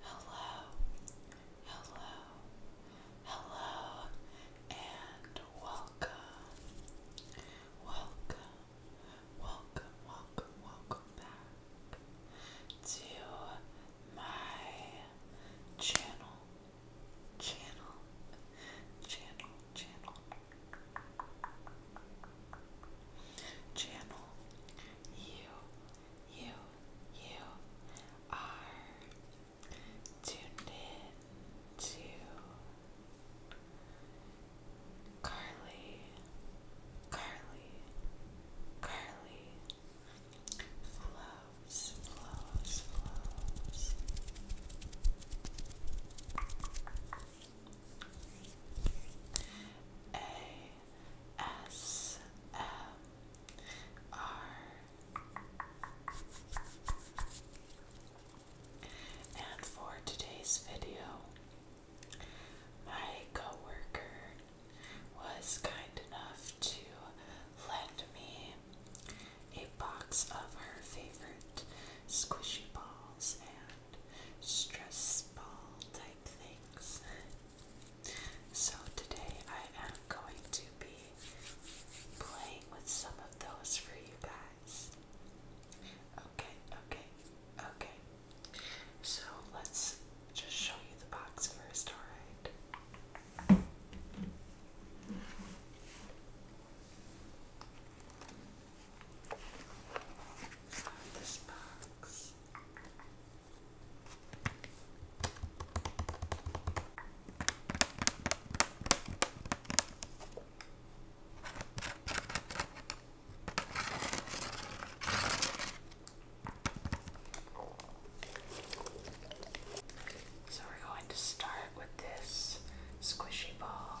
Hello, hello, hello, and welcome, welcome, welcome, welcome, welcome back, to my channel, channel, channel, channel, channel. You, you, you are tuned in to Carly, Carly, Carly, flows, flows, flows. A S M R and for today's video, my coworker was kind enough to lend me a box of her favorite squishy balls and stress ball type things. So today I am going to be playing with some of those for you guys. Okay, okay, okay. So let's just show you the box first, alright? This box. So we're going to start with this squishy ball.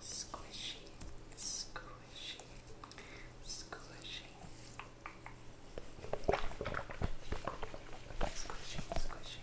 Squishy, squishy, squishy. Squishy, squishy. Squishy.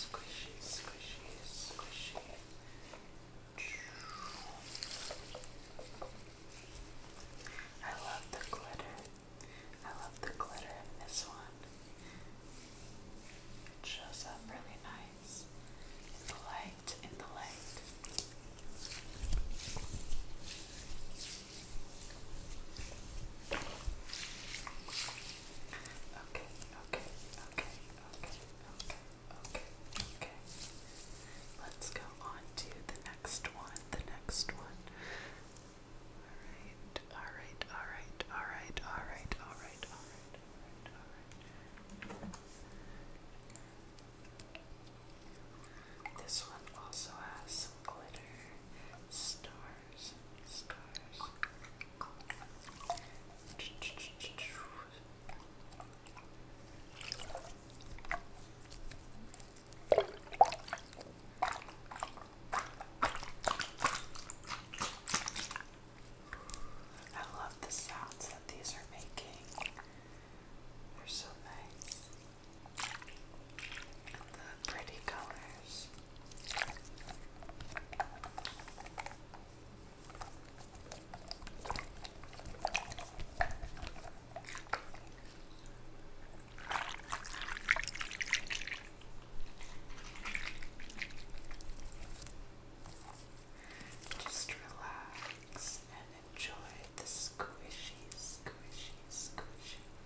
Squishy, squishy, squishy. I love the glitter. I love the glitter in this one. shows up really nice in the light, in the light. Okay, okay, okay, okay, okay, okay, okay. Let's go on to the next one, the next one. Alright, alright, alright, alright, alright, alright, alright, alright, This one also has some glitter, star stars, I love the sounds that these are making. They're so nice and the pretty colors. Just relax and enjoy the squishy, squishy, squishy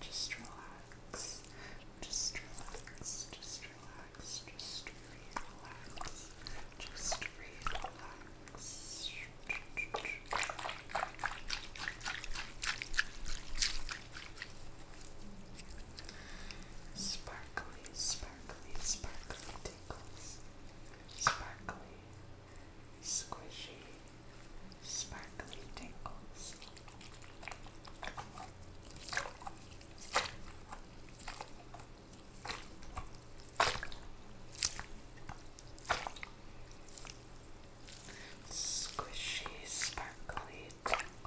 Just relax. Just relax. Just relax. Just relax. Just relax. Sparkly, sparkly, sparkly sparkly, squishy, sparkly tingles. Squishy, sparkly tingles.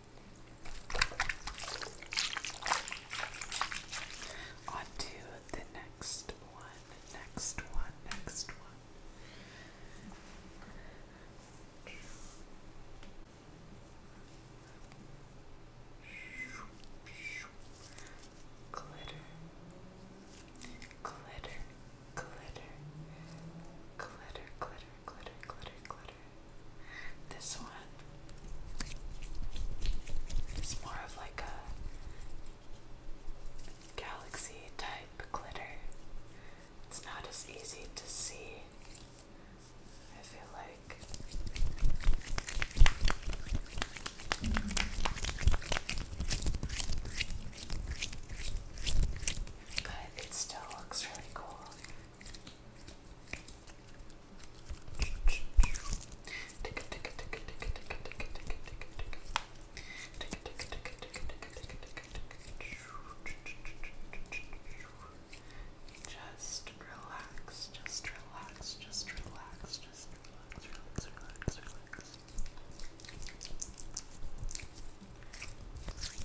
On the next one, next one, next one. Glitter, glitter, glitter, glitter, glitter, glitter, glitter, glitter. This one is more of like a galaxy type glitter. It's not as easy to see, I feel like. But it still looks really cool. Just relax, just relax, just relax, just relax, relax, relax, relax. Shh.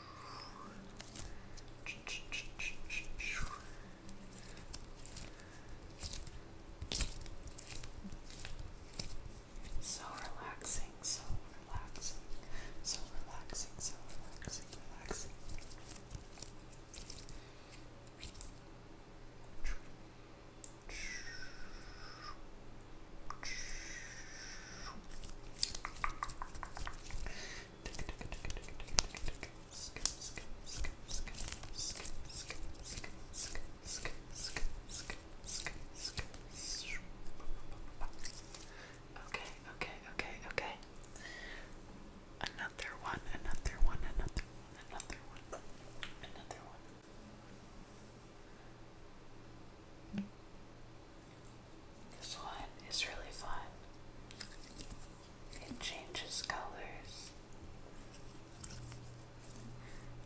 So relaxing, so relaxing, so relaxing, so relaxing, relaxing. Relaxing, Okay, okay, okay, okay. Another one, another one, another one, another one, another one. This one is really fun. It changes colors.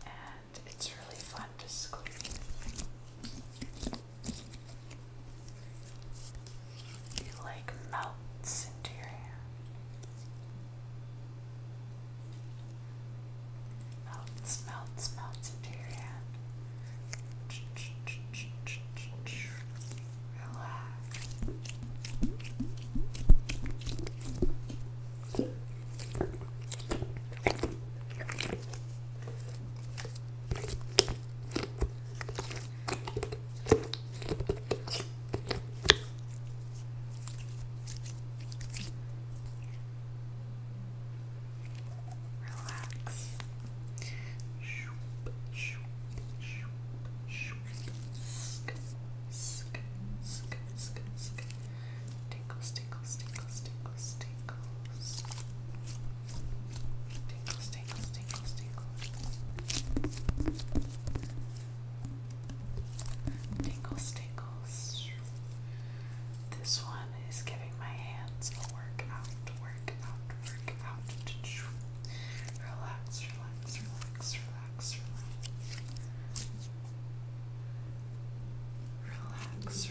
And it's really fun to squeeze. It like melts into your hand. Melts, melts, melts into your hand. Relax relax. Shoop, shoop, shoop, shoop. Sk, sk, sk, sk, sk. Tinkles, tinkles, tinkles, tinkles, tinkles. Tinkles, tinkles, tinkles, tinkles. Tinkles, tinkles. This one is giving my hands a workout, workout, workout. Relax, relax, relax, relax,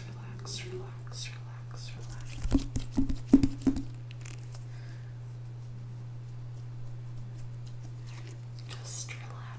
relax. Relax, relax, relax, relax, relax. Just relax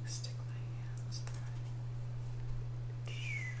Like stick my hands through. Okay.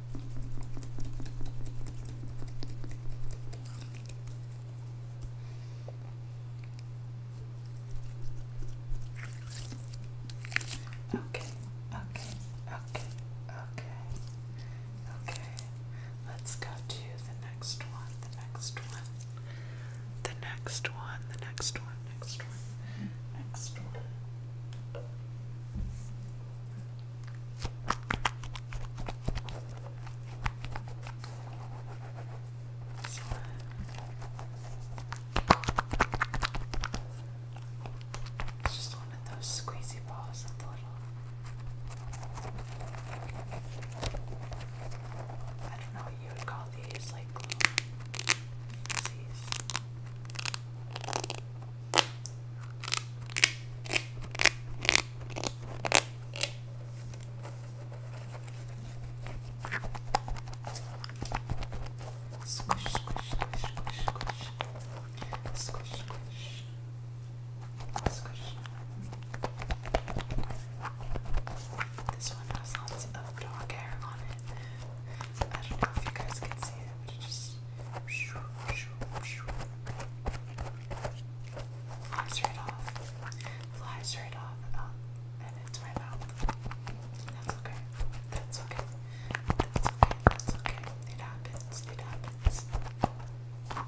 Okay, okay, okay, okay, okay. Let's go to the next one, the next one, the next one, the next one, next one, next one. So, it's just one of those squeezy balls with little. I don't know what you would call these, like little. These. Squish, squish, squish, squish, squish. Squish, squish. Squish. This one has lots of dog hair on it. I don't know if you guys can see it, but it just Flies right off. Flies right off um, and into my mouth. That's okay. That's okay. That's okay. That's okay. It happens. It happens. All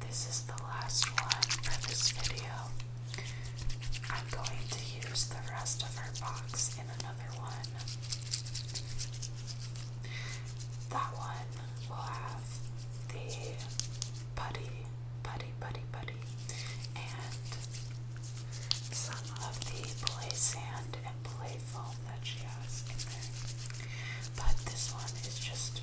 This is the last one for this video. I'm going to use the rest of her box in another one. That one will have the putty, putty, putty, putty, and some of the play sand and play foam that she has in there. But this one is just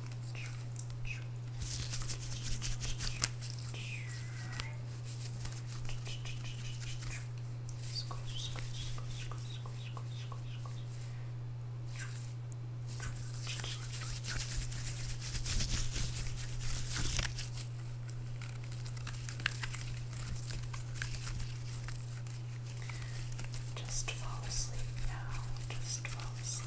Just fall asleep now. Just fall asleep.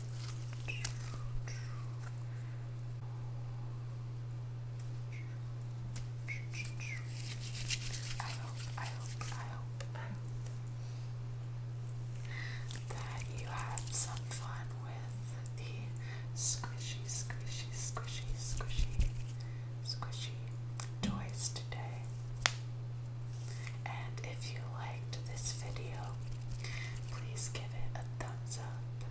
I hope, I hope, I hope that you had some fun with the squishy, squishy, squishy, squishy, squishy toys today. And if you liked this video, please give it a thumbs up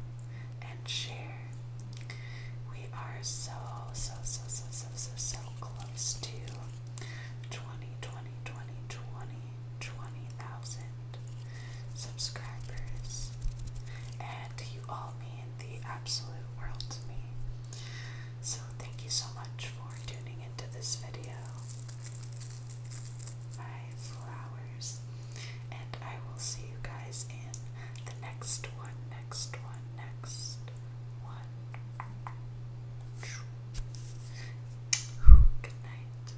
and share. We are so, so, so, so, so, so, so close to 20, 20, 20, 20, 20,000 subscribers. And you all mean the absolute world to me. So thank you so much for tuning into this video my flowers. And I will see you guys in the next one, next one, next one. Good night.